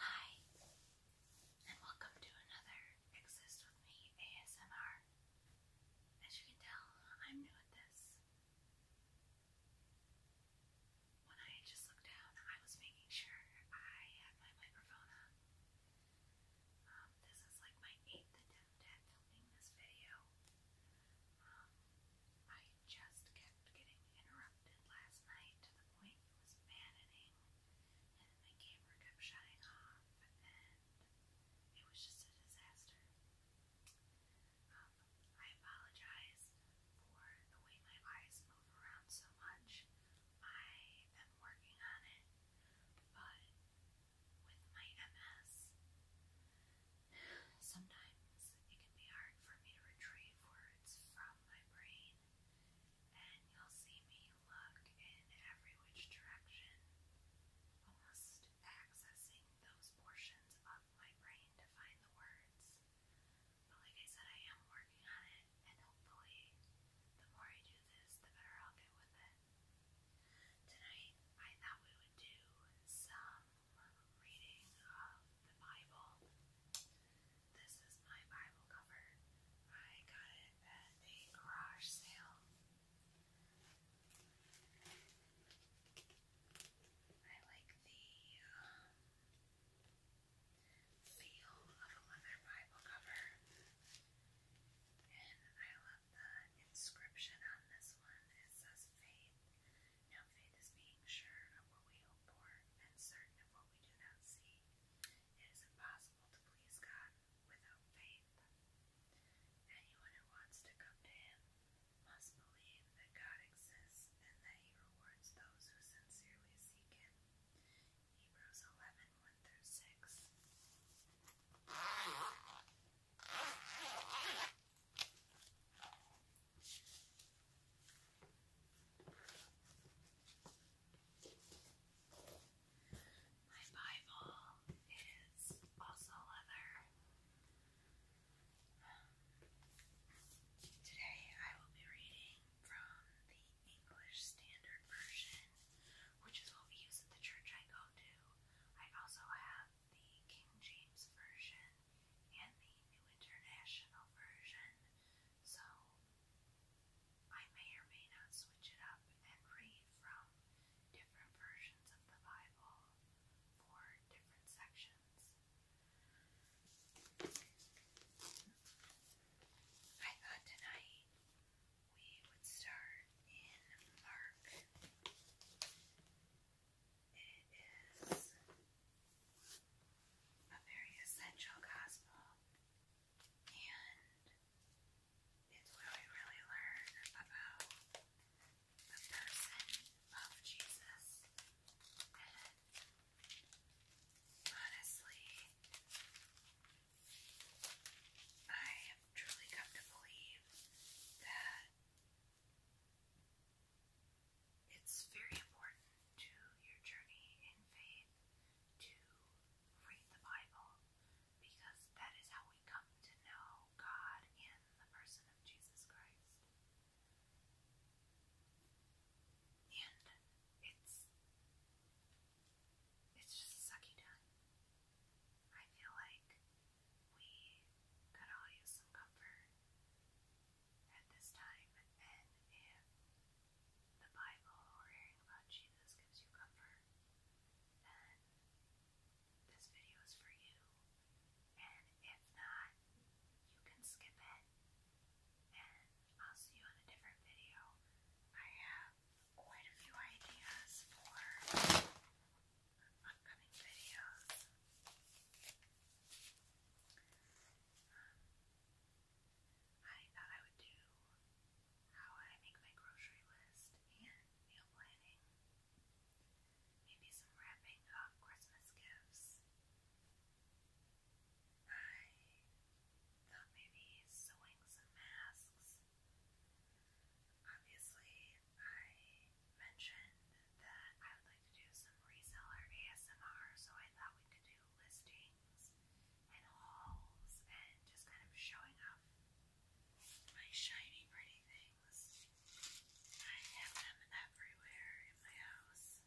Hi, and welcome to another Exist With Me ASMR. As you can tell, I'm new at this. When I just looked down, I was making sure I had my microphone on. Um, this is like my eighth attempt at filming this video. Um, I just kept getting interrupted last night to the point it was maddening. And then camera kept shutting off, and it was just a disaster. Um, I apologize for the way my eyes move around so much. I am working on it, but with my MS, Sometimes it can be hard for me to retrieve words from my brain, and you'll see me look in every which direction, almost accessing those portions of my brain to find the words. But like I said, I am working on it, and hopefully, the more I do this, the better I'll get with it. Tonight, I thought we would do some reading um, the Bible. This is my Bible cover. I got it at a garage sale. I like the um, feel of a leather Bible cover, and I love the inscription on this one. It says faith. Now faith is being sure of what we hope for and certain of what we do not see. It is impossible to please God without faith. Anyone who wants to come to Him must believe that God exists and that He rewards those who sincerely seek Him. Hebrews 11 through 6. My Bible is also leather. Today I will be reading from the English Standard Version, which is what we use at the church I go to. I also have the King James Version and the New International version, so I may or may not switch it up and read from different versions of the Bible for different sections. I thought tonight we would start in Mark. It is a very essential gospel, and it's where we really learn about the person of Jesus. And honestly, I have truly come to that it's very important to your journey in faith to read the Bible because that is how we come to know God in the person of Jesus Christ. And it's it's just a sucky time. I feel like we could all use some comfort at this time. And if the Bible or hearing about Jesus gives you comfort, then this video is for you. And if not, you can skip it. And I'll see you on a different video. I have quite a few ideas for upcoming videos. I thought I would do how I make my grocery list and meal planning. Maybe some wrapping of Christmas gifts. I thought maybe sewing some masks. Obviously, I mentioned that I would like to do some reseller ASMR, so I thought we could do listings and hauls and just kind of showing off my shiny, pretty things. I have them everywhere in my house.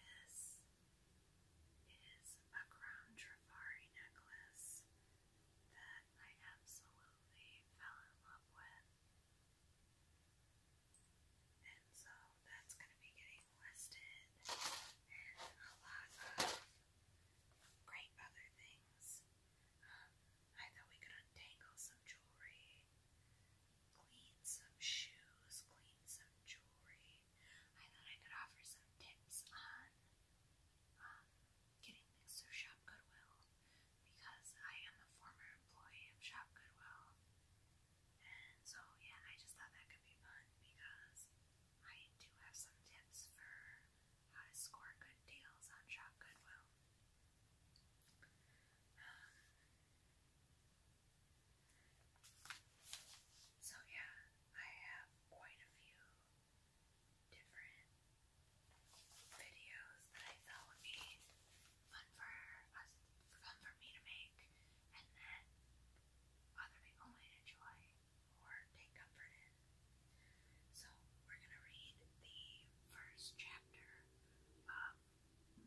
This is a crown Trafari necklace that that I absolutely fell in love with. And so that's going to be getting listed and a lot of great other things. Um, I thought we could untangle some jewelry, clean some shoes, clean some jewelry. I thought I could offer some tips on getting things through Shop Goodwill because I am a former employee of Shop Goodwill. And so, yeah, I just thought that could be fun because I do have some tips for how to score good deals on Shop Goodwill. Um, so, yeah, I have quite a few different videos that I thought would be fun for us, fun for me to make, and that other people might enjoy or take comfort in. So we're gonna read the first chapter of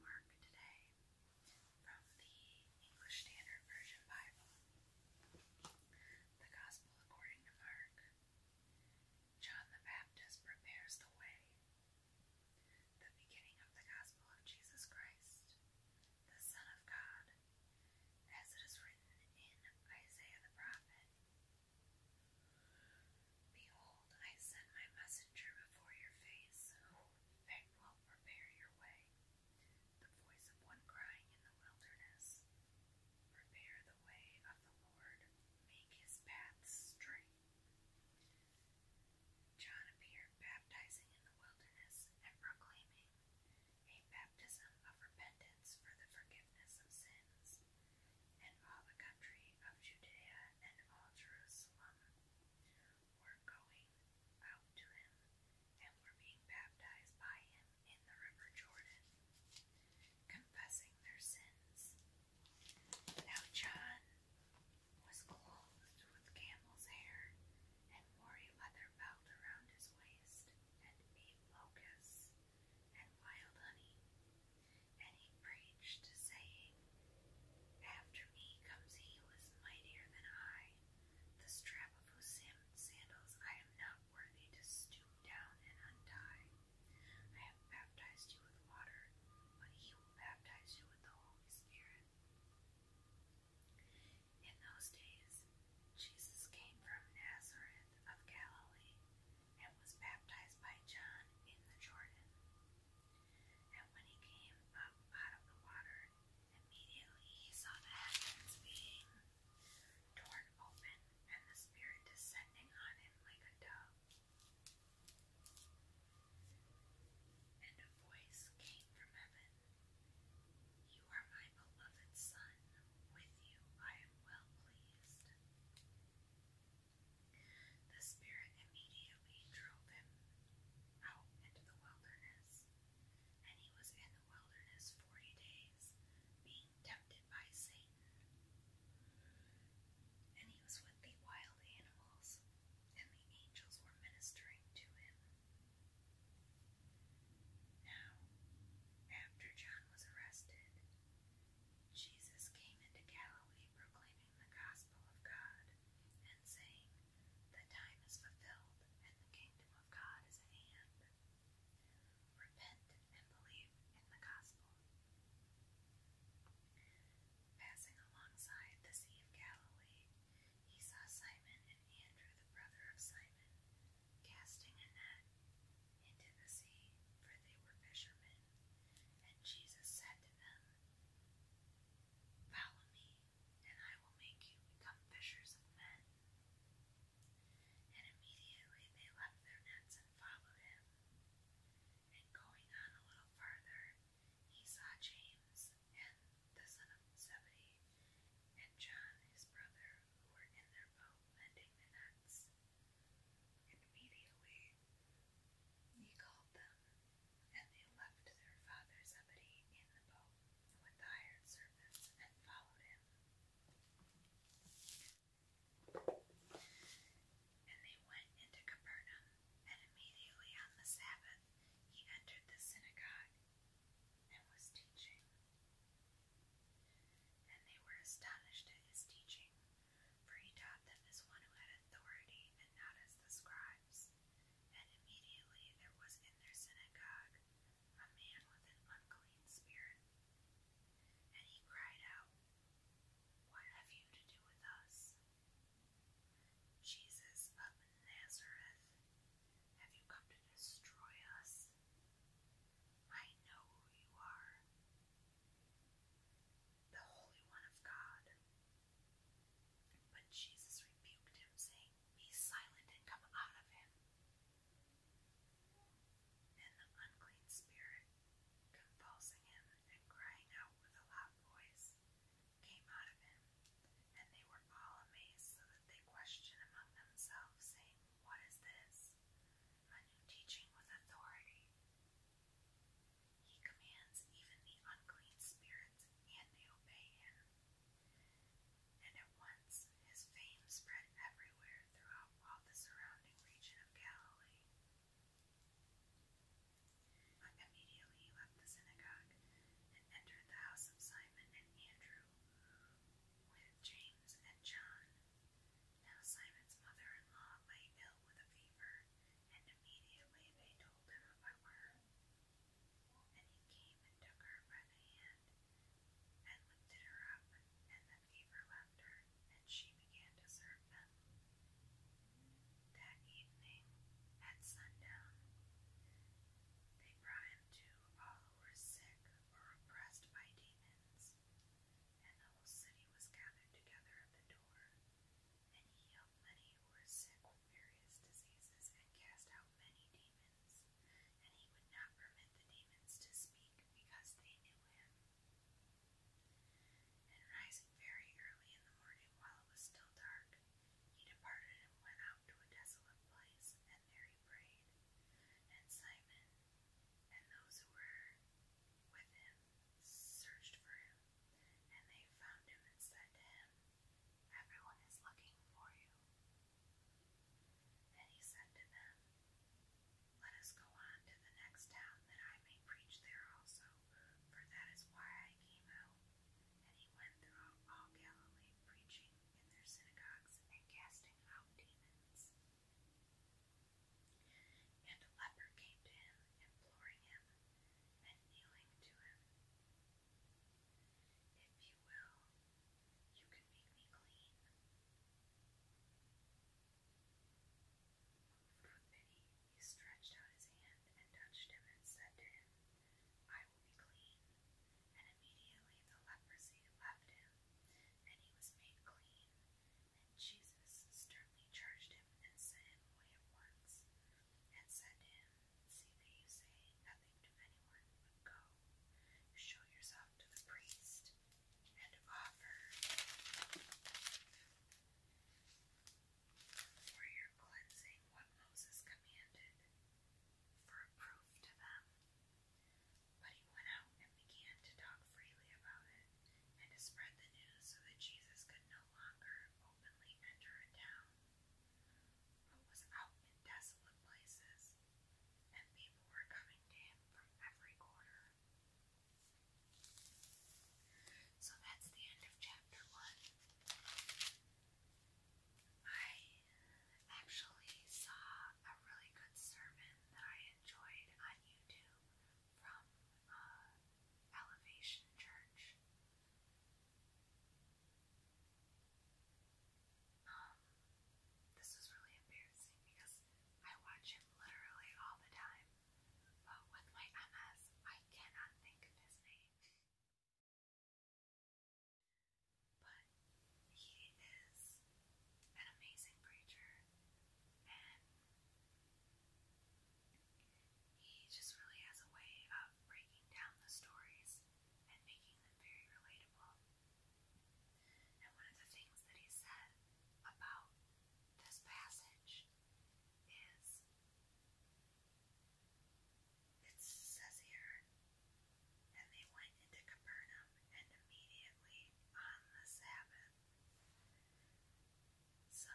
Mark today from the English Standard Version Bible. The Gospel according to Mark. John the Baptist prepares the way, the beginning of the gospel of Jesus Christ, the Son of God, as it is written in Isaiah the prophet. Behold, I send my messenger before your face, who will prepare your way. The voice of one crying in the wilderness, the way of the Lord, make his path straight. John appeared baptizing in the wilderness and proclaiming a baptism of repentance for the forgiveness of sins, and all the country of Judea and all Jerusalem were going out to him and were being baptized by him in the river Jordan, confessing their sins. Now John was clothed with camel's hair and wore a leather belt around his waist and ate locusts and wild honey. And he preached, saying, After me comes he who is mightier than I, the strap of whose sandals I am not worthy to stoop down and untie. I have baptized you with water, but he will baptize you with the Holy Spirit. In those days, Jesus came from Nazareth of Galilee and was baptized by John in the Jordan. And when he came up out of the water, immediately he saw the heavens being torn open, and the Spirit descending on him like a dove. And a voice came from heaven You are my beloved Son, with you I am well pleased. The Spirit immediately drove him out into the wilderness, and he was in the wilderness forty days, tempted by Satan. And he was with the wild animals, and the angels were ministering to him. Now, after John was arrested, Jesus came into Galilee proclaiming the gospel of God and saying, The time is fulfilled and the kingdom of God is at hand. Repent and believe in the gospel. Passing alongside the Sea of Galilee, he saw Simon and Andrew, the brother of Simon, casting a net into the sea, for they were fishermen. And Jesus said to them, Follow me, and I will make you become fishers of men. And immediately they left their nets and followed him. And going on a little farther, he saw James and the son of Zebedee, and John his brother, who were in their boat mending the nets. And immediately he called them, and they left their father Zebedee in the boat with the hired servants and followed him. And they went into Capernaum, and immediately on the Sabbath he entered the synagogue and was teaching. And they were astonished at his teaching, for he taught them as one who had authority and not as the scribes. And immediately there was in their synagogue a man with an unclean spirit. And he cried out, What have you to do with us? Jesus of Nazareth, have you come to destroy us? I know who you are, the Holy One of God. But Jesus rebuked him, saying, Be silent and come out of him. Then the unclean spirit, convulsing him and crying out with a loud voice, came out of him, and they were all amazed, so that they questioned among themselves, saying, What is this? A new teaching with authority. He commands even the unclean spirits, and they obey him. And at once his fame spread everywhere throughout all the surrounding region of Galilee. Immediately he left the synagogue and entered the house of Simon and Andrew with James and John. Now Simon's mother in law lay ill with a fever, and immediately they told him about her. And he came and took her by the hand, and lifted her up, and the fever left her, and she began to serve them. That evening, at sundown, they brought to all who were sick or oppressed by demons, and the whole city was gathered together at the door, and he healed many who were sick with various diseases and cast out many demons and he would not permit the demons to speak because they knew him. And rising very early in the morning while it was still dark, he departed and went out to a desolate place, and there he prayed. And Simon and those who were with him searched for him, and they found him and said to him, Everyone is looking for you. And he said to them, Let us go on to the next town, that I may preach there also, for that is why I came out. And he went throughout all Galilee, preaching in their synagogues and casting out demons. And a leper came to him, imploring him, and kneeling to him, if you will, you can make me clean. Moved with pity, he stretched out his hand and touched him and said to him, I will be clean. And immediately the leprosy left him, and he was made clean. And Jesus sternly charged him and sent him away at once, and said to him, See that you say nothing to anyone, go. show yourself to the priest and offer for your cleansing what Moses commanded for a proof to them. But he went out and began to talk freely about it and to spread the news so that Jesus could no longer openly enter a town who was out in desolate places, and people were coming to him from every quarter. So that's the end of chapter one. I actually saw a really good sermon that I enjoyed on YouTube from uh, Elevation Church. Um, this was really embarrassing because I watch him literally all the time, but with my MS, I cannot think of his name. But he is an amazing preacher, he just really has a way of breaking down the stories and making them very relatable. And one of the things that he said about this passage is it says here, and they went into Capernaum, and immediately on the Sabbath. So,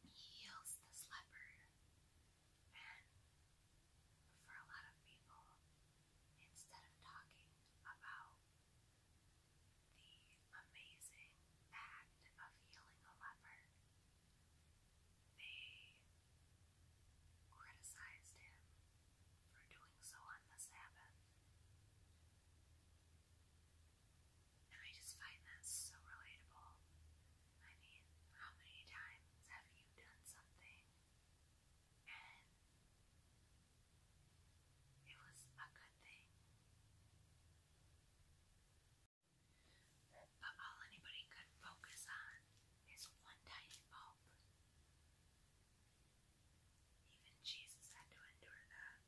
he heals this leper, and for a lot of people, instead of talking about the amazing act of healing a leper, they criticized him for doing so on the Sabbath. And I just find that so relatable. I mean, how many times have you done something and it was a good thing? But all anybody could focus on is one tiny bulb. Even Jesus had to endure that.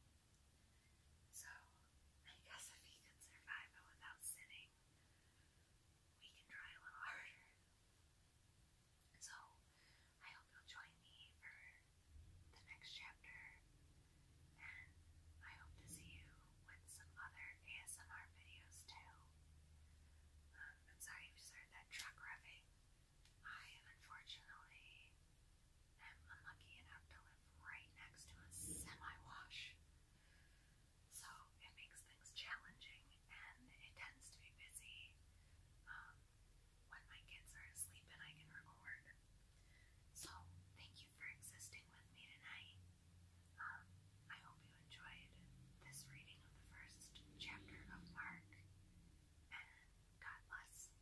So, I guess if he can survive without sitting, we can try a little harder. So, I hope you'll join me for the next chapter, and I hope to see you with some other ASMR videos too. Um, I'm sorry if you just heard that truck revving. I unfortunately I'm unlucky enough to live right next to a semi-wash. So it makes things challenging and it tends to be busy um, when my kids are asleep and I can record. So thank you for existing with me tonight. Um, I hope you enjoyed this reading of the first chapter of Mark and God bless.